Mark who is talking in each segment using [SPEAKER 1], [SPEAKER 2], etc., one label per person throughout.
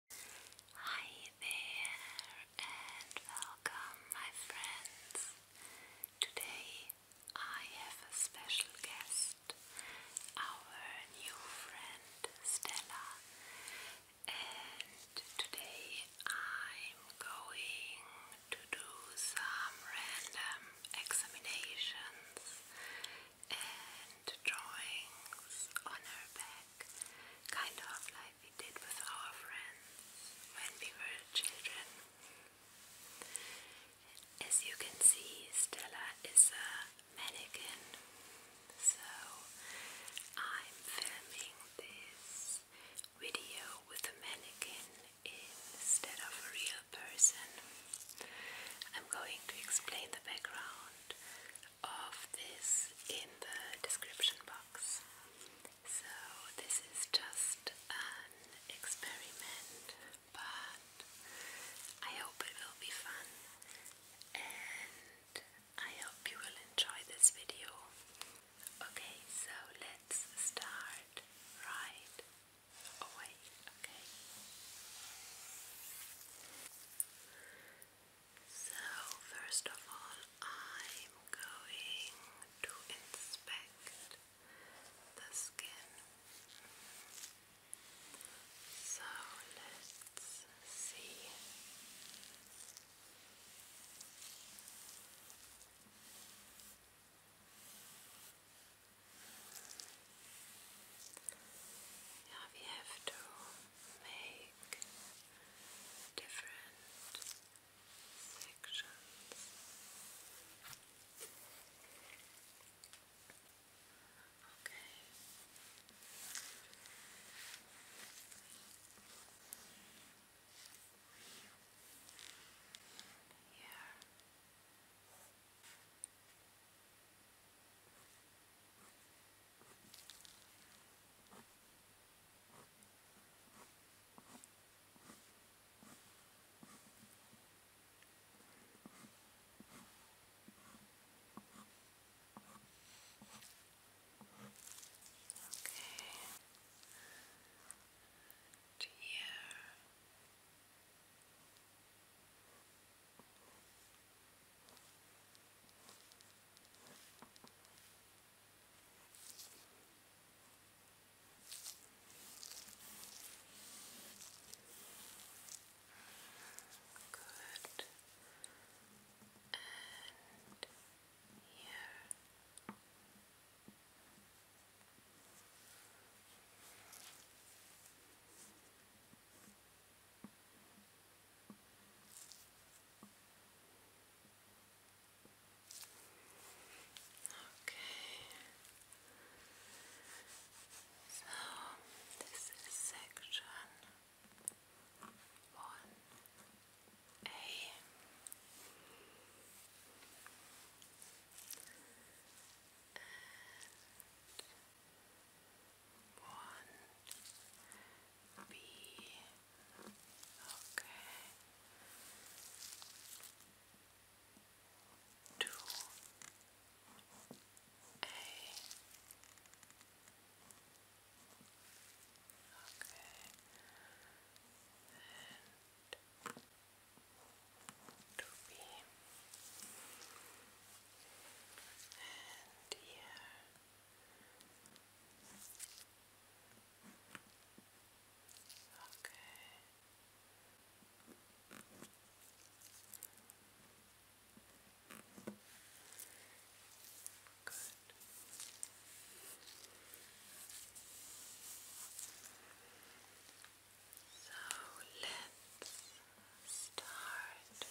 [SPEAKER 1] Hi there and welcome my friends. Today I have a special guest, our new friend Stella, and today I'm going to do some random examinations drawings on her back, kind of like we did with our friends when we were children. As you can see, Stella is a mannequin, so I'm filming this video with a mannequin instead of a real person. I'm going to explain the background of this in the description box. So, this is just an experiment, but I hope it will be fun and I hope you will enjoy this video. Okay, so let's start right away, okay? So, first of all, I'm going to inspect the skin. So, let's see. Yeah, we have to make different sections okay here to here. Good. And here. Good. Okay. So this is section one A one B. Okay. Two A. Okay. And two B and here. Okay. Good. So let's start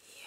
[SPEAKER 1] here.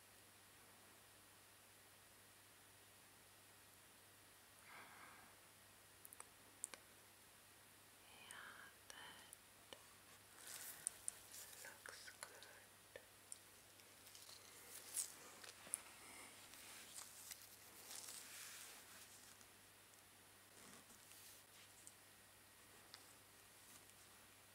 [SPEAKER 1] Yeah, that looks good.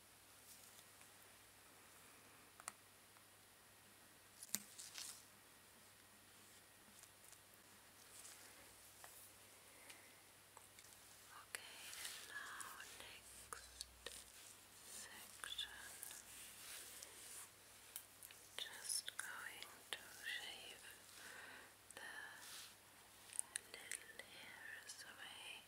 [SPEAKER 1] Okay, and now next section. Just going to shave the little hairs away.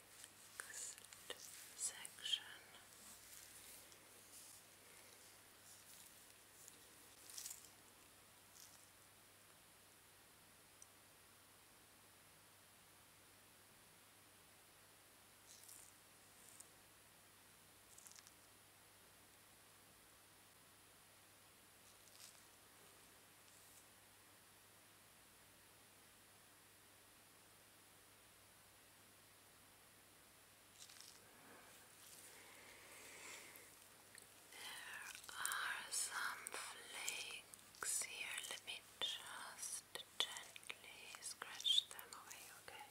[SPEAKER 1] next section. There are some flakes here. Let me just gently scratch them away, okay?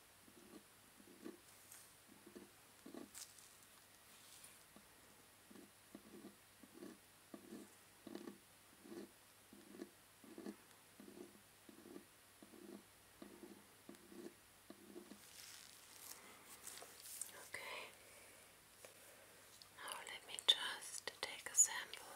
[SPEAKER 1] Okay. Now let me just take a sample.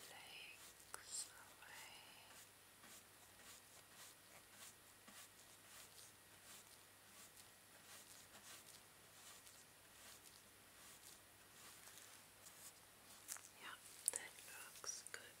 [SPEAKER 1] flakes away. Yeah, that looks good.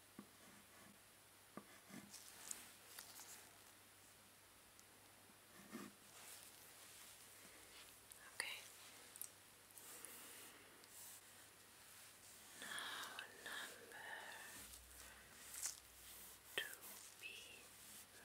[SPEAKER 1] Okay. Now number two B. Mm -hmm.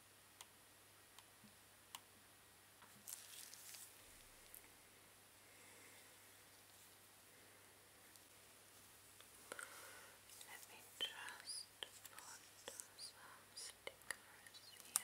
[SPEAKER 1] Let me just put some stickers here.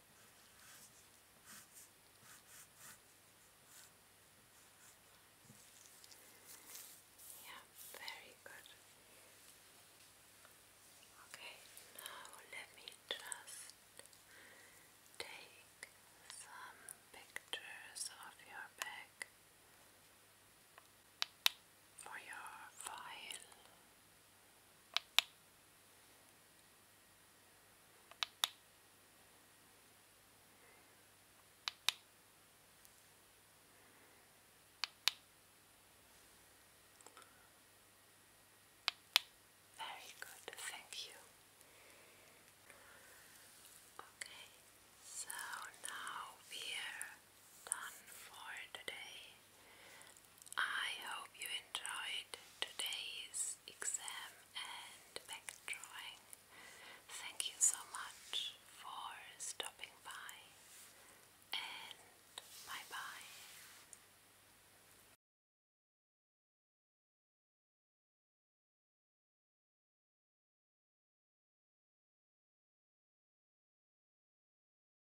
[SPEAKER 1] Yeah, very good. Okay, now let me just take some pictures of your back for your file. Very good, thank you. Okay, so now we're done for today. I hope you enjoyed today's exam and back drawing. Thank you so much for stopping by and bye bye.